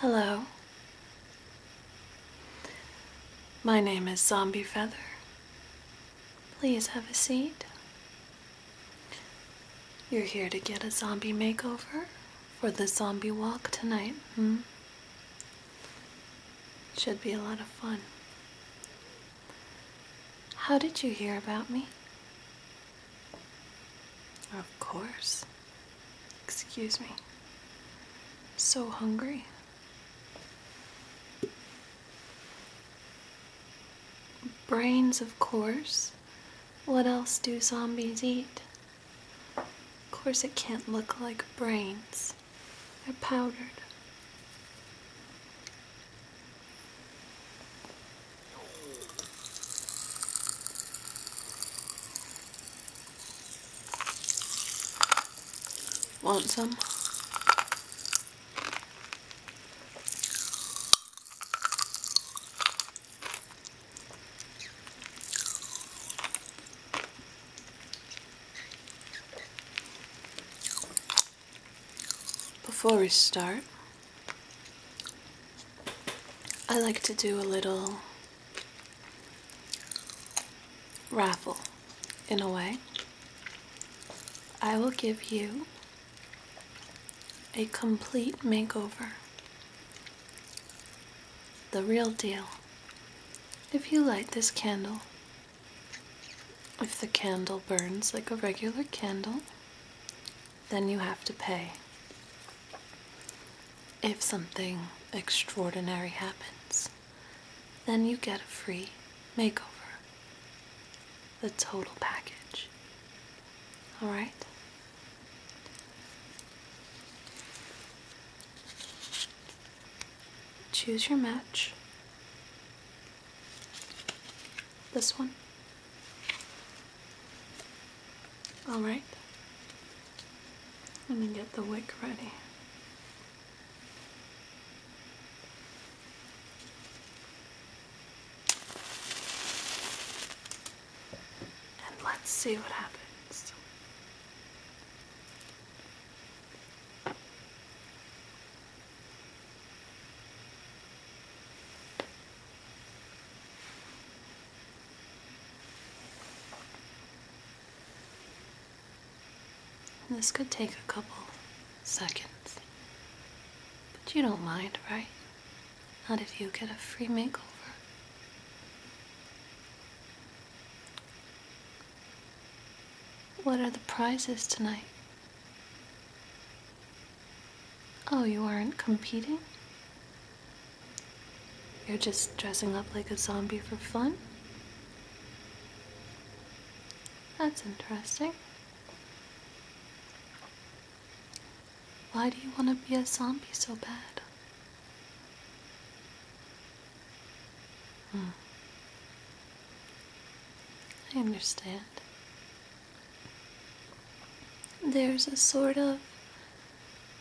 Hello. My name is Zombie Feather. Please have a seat. You're here to get a zombie makeover for the zombie walk tonight, hmm? Should be a lot of fun. How did you hear about me? Of course. Excuse me. so hungry. Brains, of course. What else do zombies eat? Of course, it can't look like brains. They're powdered. Want some? Before we start, I like to do a little raffle in a way. I will give you a complete makeover. The real deal. If you light this candle, if the candle burns like a regular candle, then you have to pay. If something extraordinary happens, then you get a free makeover. The total package. Alright? Choose your match. This one. All right. Let me get the wick ready. And let's see what happens this could take a couple seconds. But you don't mind, right? Not if you get a free makeover. What are the prizes tonight? Oh, you aren't competing? You're just dressing up like a zombie for fun? That's interesting. Why do you want to be a zombie so bad? Hmm. I understand. There's a sort of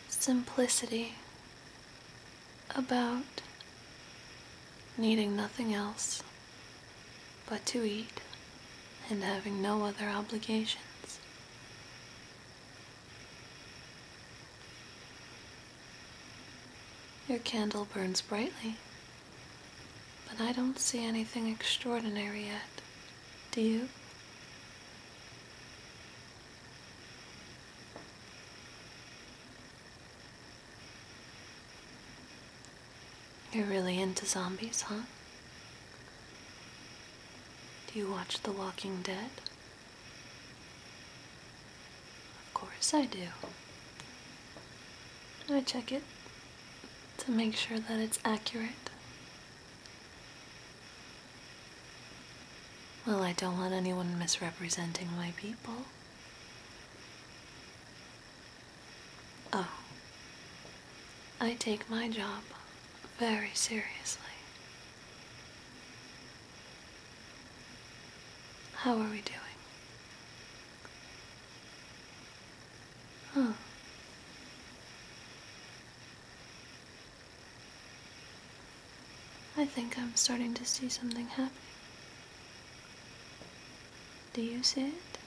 simplicity about needing nothing else but to eat and having no other obligations. Your candle burns brightly, but I don't see anything extraordinary yet. Do you? You're really into zombies, huh? Do you watch The Walking Dead? Of course I do. I check it to make sure that it's accurate well, I don't want anyone misrepresenting my people. Oh, I take my job very seriously. How are we doing? Huh. I think I'm starting to see something happening. Do you see it?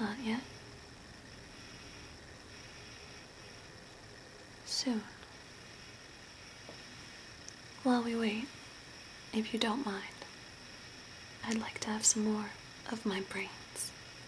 Not yet. Soon. While we wait, if you don't mind, I'd like to have some more of my brains.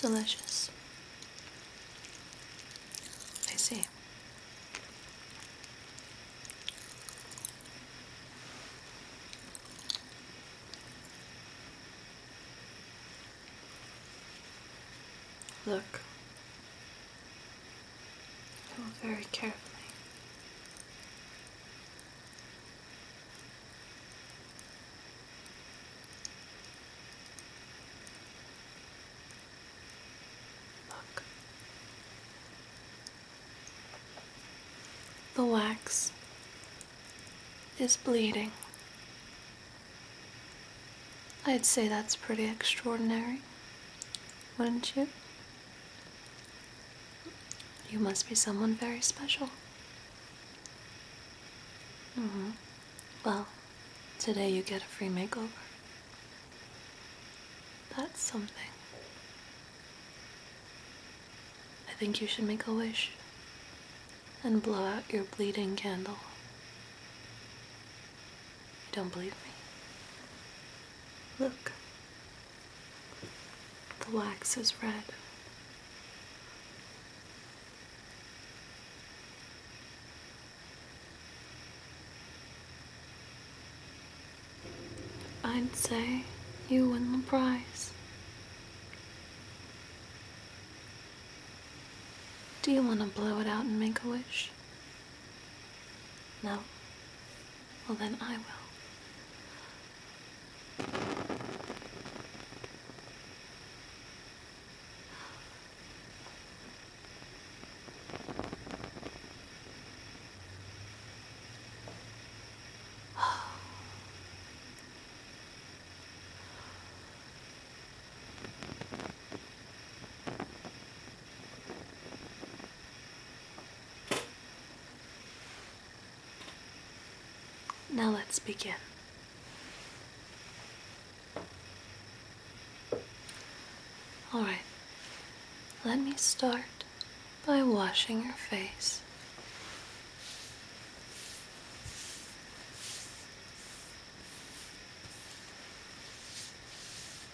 Delicious. I see. Look, Oh, very carefully. Look. The wax is bleeding. I'd say that's pretty extraordinary wouldn't you? You must be someone very special. Mm-hmm. Well, today you get a free makeover. That's something. I think you should make a wish and blow out your bleeding candle. You Don't believe me? Look. The wax is red. I'd say you win the prize. Do you want to blow it out and make a wish? No? Well, then I will. Now let's begin. All right, let me start by washing your face.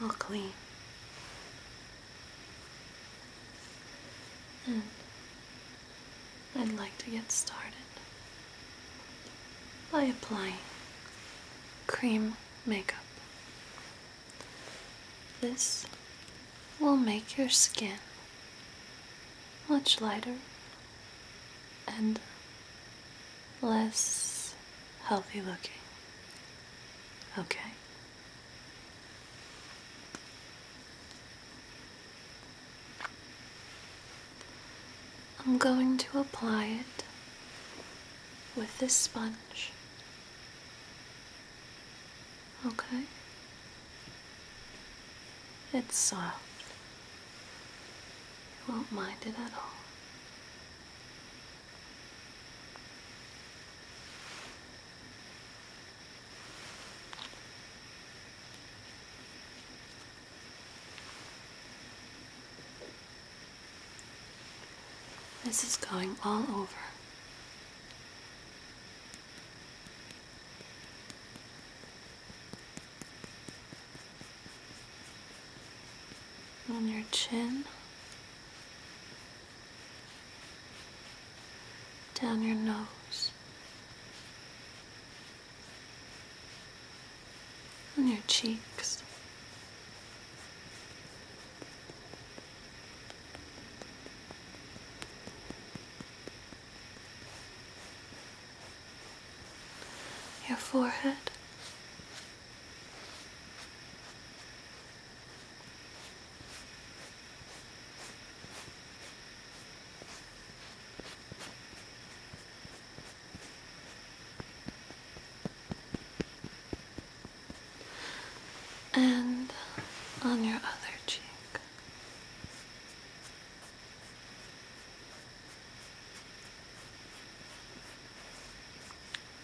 all clean and I'd like to get started by applying cream makeup. This will make your skin much lighter and less healthy looking. Okay. I'm going to apply it with this sponge. Okay. It's soft. Uh, you won't mind it at all. This is going all over on your chin, down your nose, on your cheeks your forehead. And on your other cheek.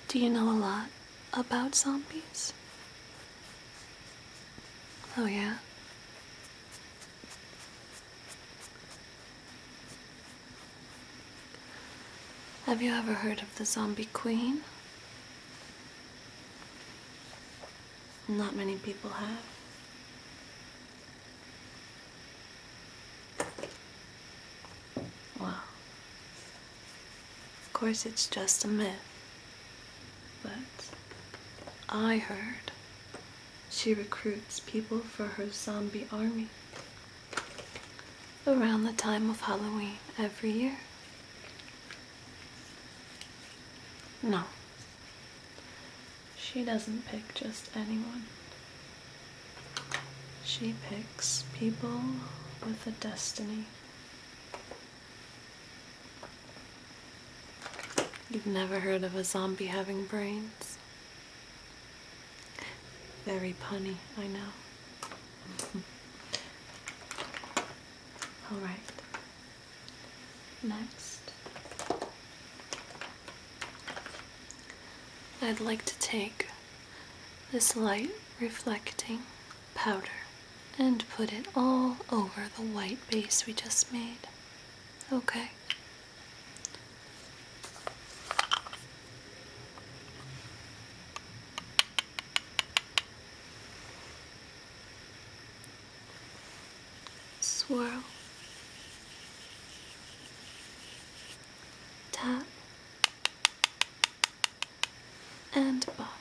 Do you know a lot about zombies? Oh, yeah? Have you ever heard of the Zombie Queen? Not many people have. Well, of course it's just a myth, but I heard she recruits people for her zombie army around the time of Halloween every year. No, she doesn't pick just anyone. She picks people with a destiny. You've never heard of a zombie having brains? Very punny, I know. All right. Next, I'd like to take this light reflecting powder and put it all over the white base we just made. Okay swirl, tap, and buff.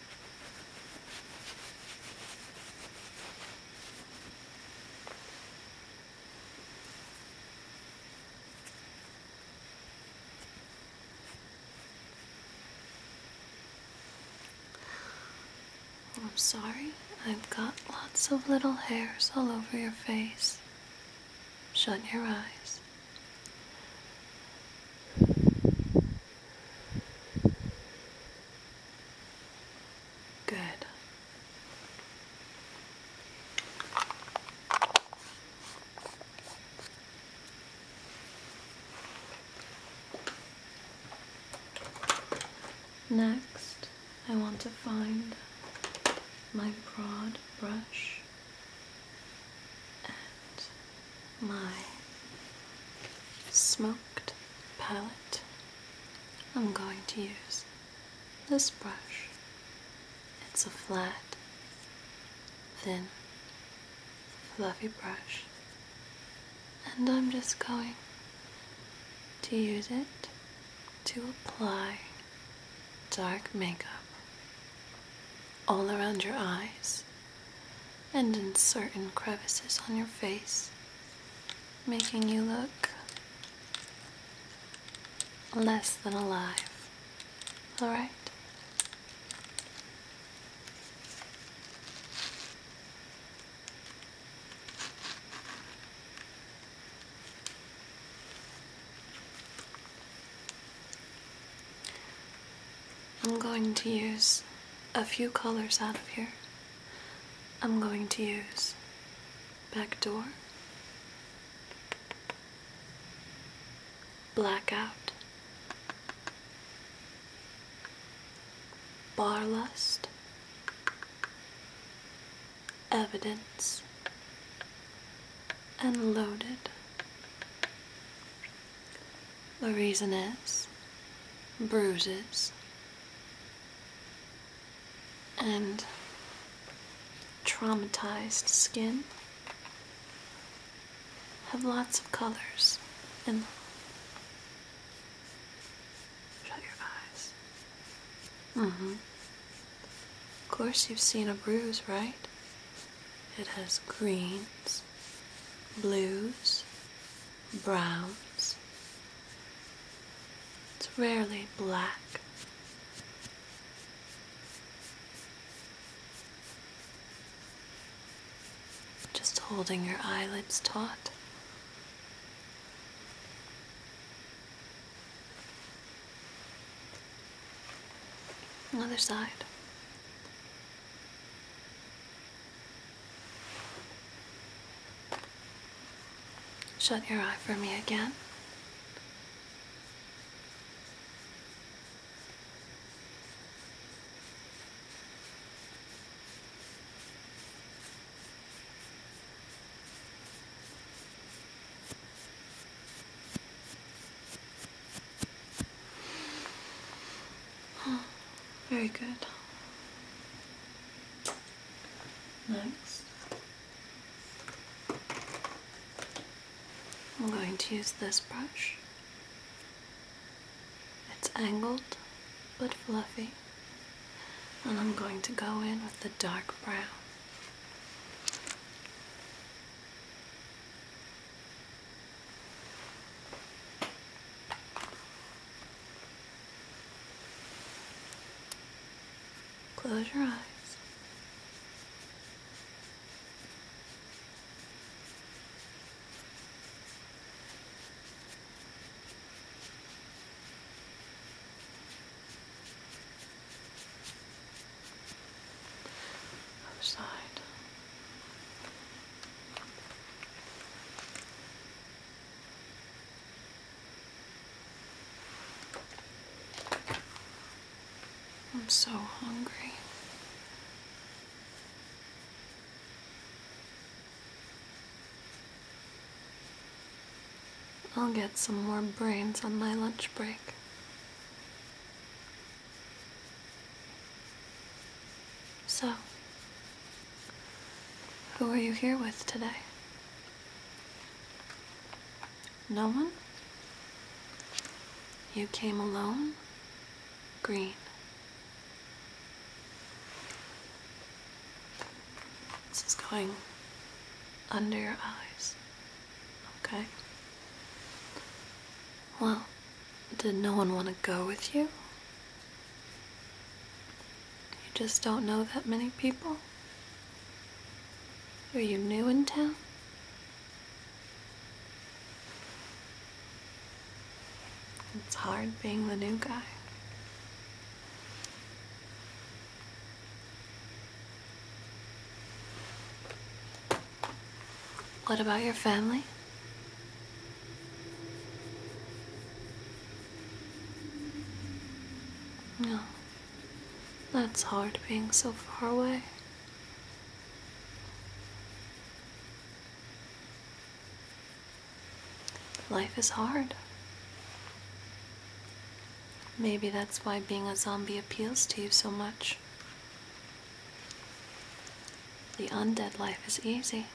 I'm sorry, I've got lots of little hairs all over your face. Shut your eyes. Good. Next, I want to find my broad brush and my smoked palette, I'm going to use this brush. It's a flat, thin, fluffy brush, and I'm just going to use it to apply dark makeup all around your eyes and in certain crevices on your face, making you look less than alive. Alright? I'm going to use a few colors out of here. I'm going to use back door, blackout, barlust, evidence, and loaded. The reason is bruises and traumatized skin have lots of colors Shut your eyes. Mm-hmm. Of course you've seen a bruise, right? It has greens, blues, browns. It's rarely black. Just holding your eyelids taut. Other side. Shut your eye for me again. very good. Next, I'm going to use this brush. It's angled but fluffy, and I'm going to go in with the dark brown. Close your eyes. Other side. I'm so hungry. I'll get some more brains on my lunch break. So, who are you here with today? No one? You came alone? Green. This is going under your eyes. Okay? Well, did no one want to go with you? You just don't know that many people? Are you new in town? It's hard being the new guy. What about your family? No, that's hard being so far away. Life is hard. Maybe that's why being a zombie appeals to you so much. The undead life is easy.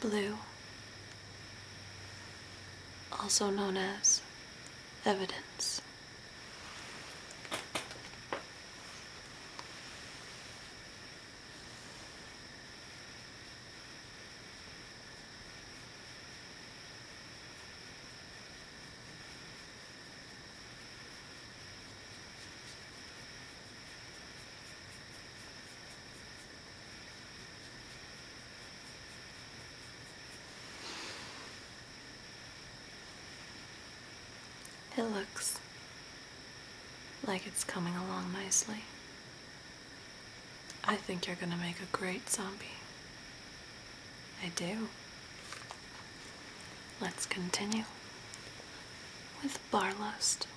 Blue, also known as evidence. It looks like it's coming along nicely. I think you're gonna make a great zombie. I do. Let's continue with Barlust.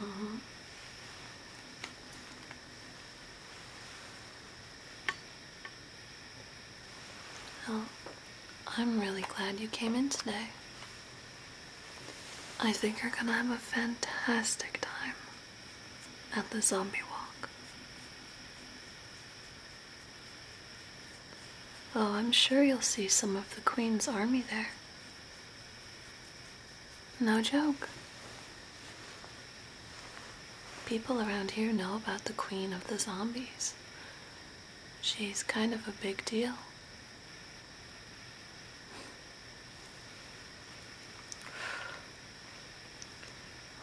Uh Well, I'm really glad you came in today. I think you're gonna have a fantastic time at the zombie walk. Oh, I'm sure you'll see some of the Queen's army there. No joke. People around here know about the Queen of the Zombies. She's kind of a big deal.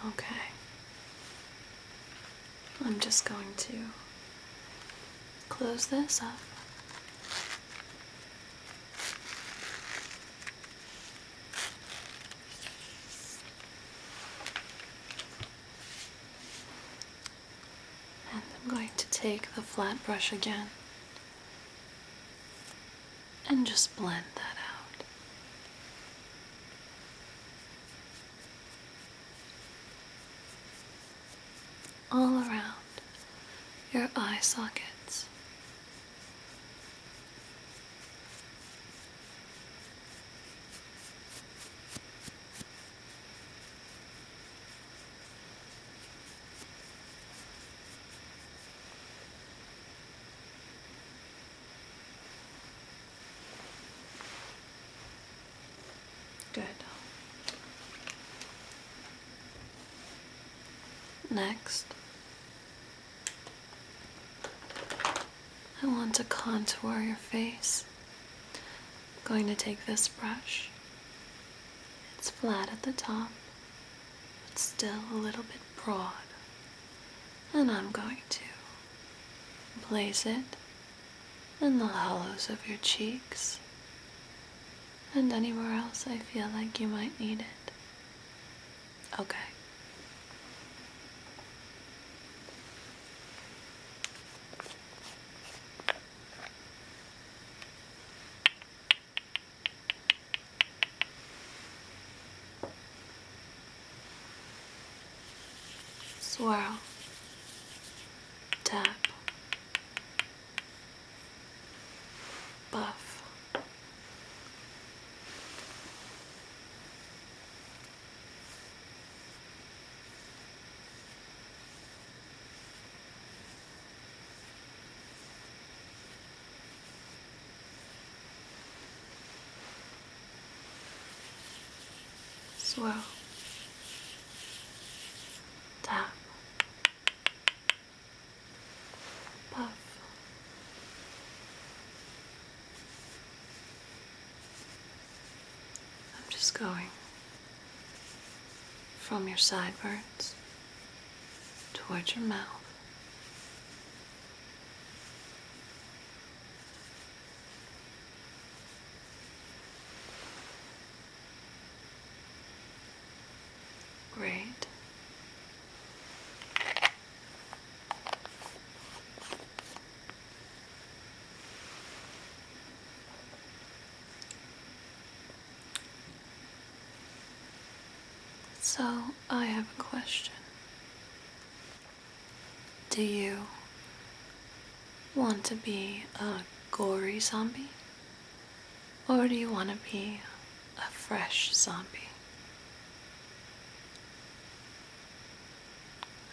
Okay. I'm just going to close this up. And I'm going to take the flat brush again and just blend that out all around your eye sockets. Good. Next, I want to contour your face. I'm going to take this brush. It's flat at the top, but still a little bit broad. And I'm going to Place it in the hollows of your cheeks and anywhere else I feel like you might need it. Okay. Swirl. Tap. Buff. Swirl. Tap. Puff. I'm just going from your sideburns towards your mouth Great. So, I have a question. Do you want to be a gory zombie? Or do you want to be a fresh zombie?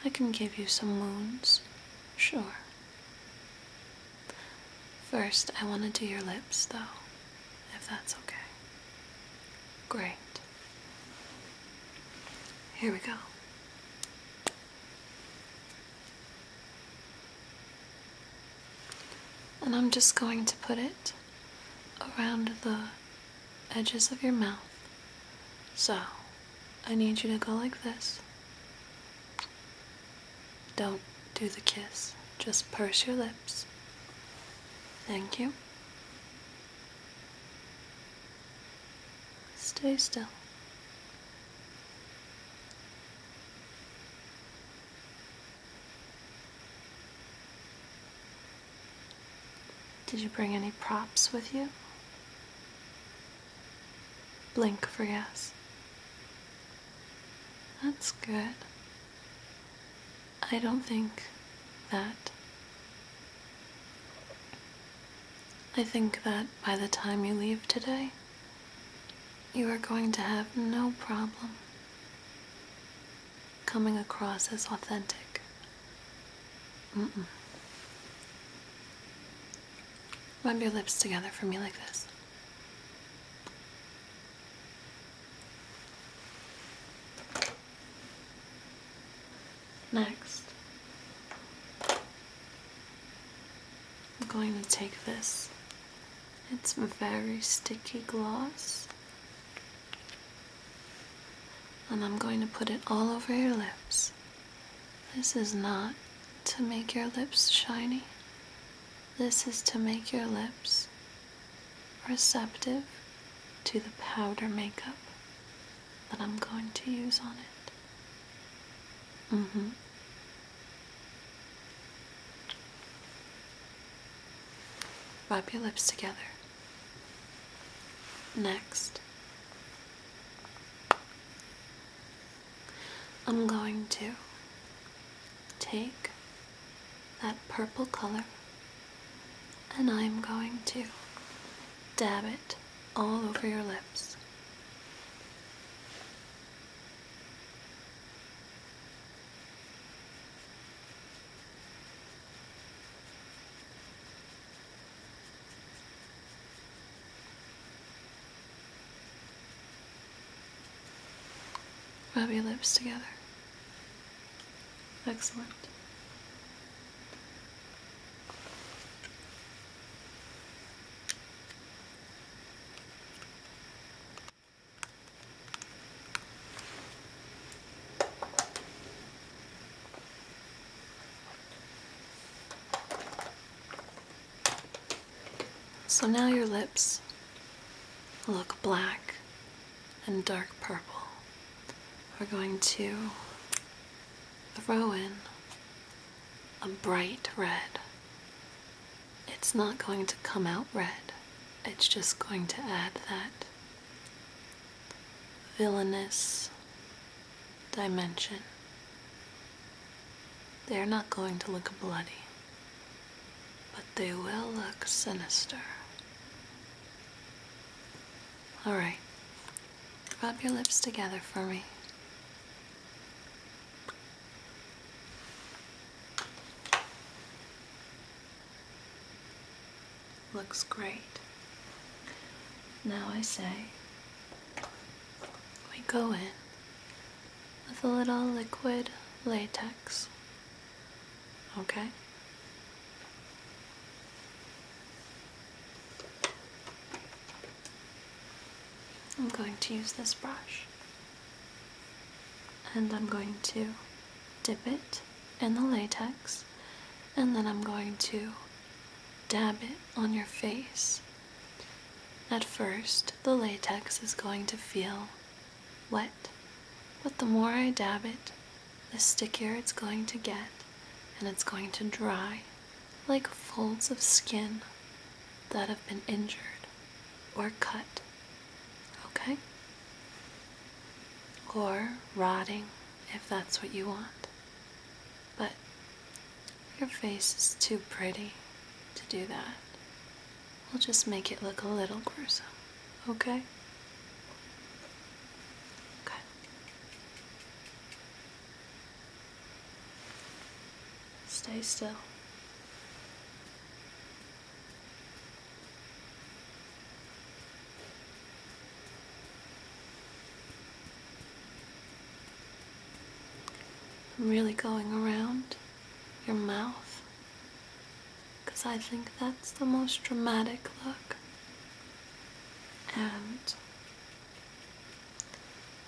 I can give you some wounds, sure. First, I want to do your lips, though, if that's okay. Great. Here we go. And I'm just going to put it around the edges of your mouth. So, I need you to go like this. Don't do the kiss, just purse your lips. Thank you. Stay still. Did you bring any props with you? Blink for yes. That's good. I don't think that I think that by the time you leave today, you are going to have no problem coming across as authentic. Rub your lips together for me like this. Next, I'm going to take this. It's very sticky gloss. And I'm going to put it all over your lips. This is not to make your lips shiny. This is to make your lips receptive to the powder makeup that I'm going to use on it. Mm Rub your lips together. Next, I'm going to take that purple color and I'm going to dab it all over your lips. Rub your lips together. Excellent. So now your lips look black and dark purple. We're going to throw in a bright red. It's not going to come out red, it's just going to add that villainous dimension. They're not going to look bloody, but they will look sinister. All right. Rub your lips together for me. Looks great. Now I say we go in with a little liquid latex. Okay? I'm going to use this brush and I'm going to dip it in the latex and then I'm going to dab it on your face. At first, the latex is going to feel wet, but the more I dab it, the stickier it's going to get and it's going to dry like folds of skin that have been injured or cut, okay? Or rotting if that's what you want. But your face is too pretty to do that. We'll just make it look a little gruesome, okay? Good. Stay still. I'm really going around your mouth because I think that's the most dramatic look and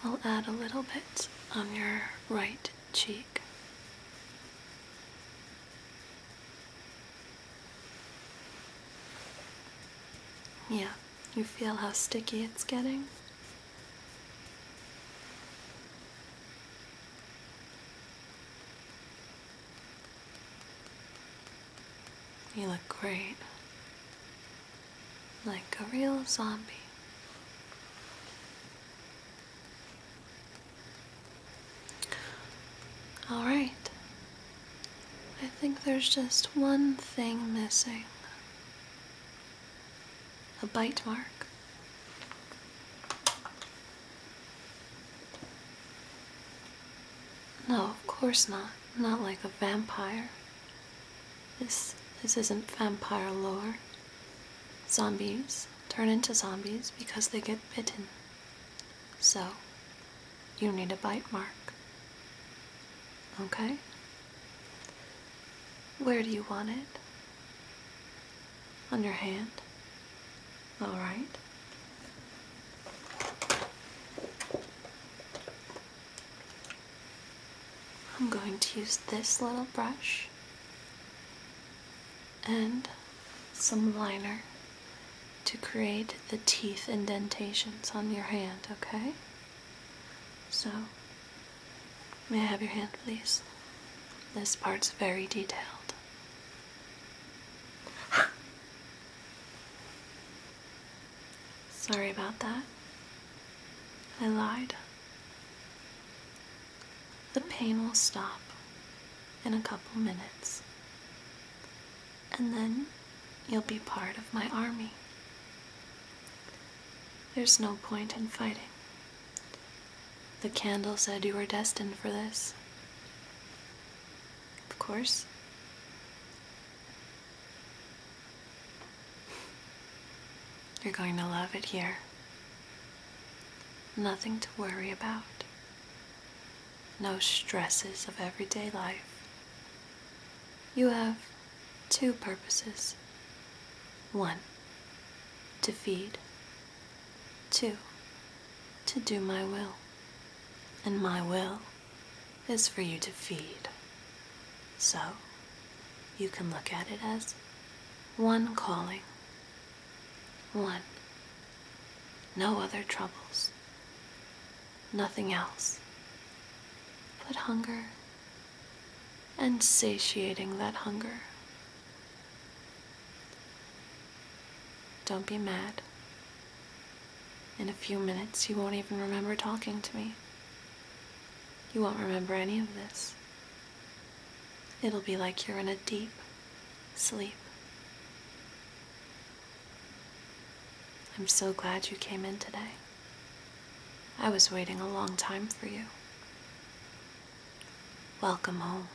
I'll add a little bit on your right cheek. Yeah, you feel how sticky it's getting? You look great. Like a real zombie. Alright. I think there's just one thing missing a bite mark. No, of course not. Not like a vampire. This this isn't vampire lore. Zombies turn into zombies because they get bitten. So, you need a bite mark. Okay? Where do you want it? On your hand? All right. I'm going to use this little brush and some liner to create the teeth indentations on your hand, okay? So, may I have your hand, please? This part's very detailed. Sorry about that. I lied. The pain will stop in a couple minutes. And then you'll be part of my army. There's no point in fighting. The candle said you were destined for this. Of course. You're going to love it here. Nothing to worry about. No stresses of everyday life. You have two purposes. One, to feed. Two, to do my will. And my will is for you to feed. So, you can look at it as one calling. One. No other troubles. Nothing else. But hunger and satiating that hunger. Don't be mad. In a few minutes, you won't even remember talking to me. You won't remember any of this. It'll be like you're in a deep sleep. I'm so glad you came in today. I was waiting a long time for you. Welcome home.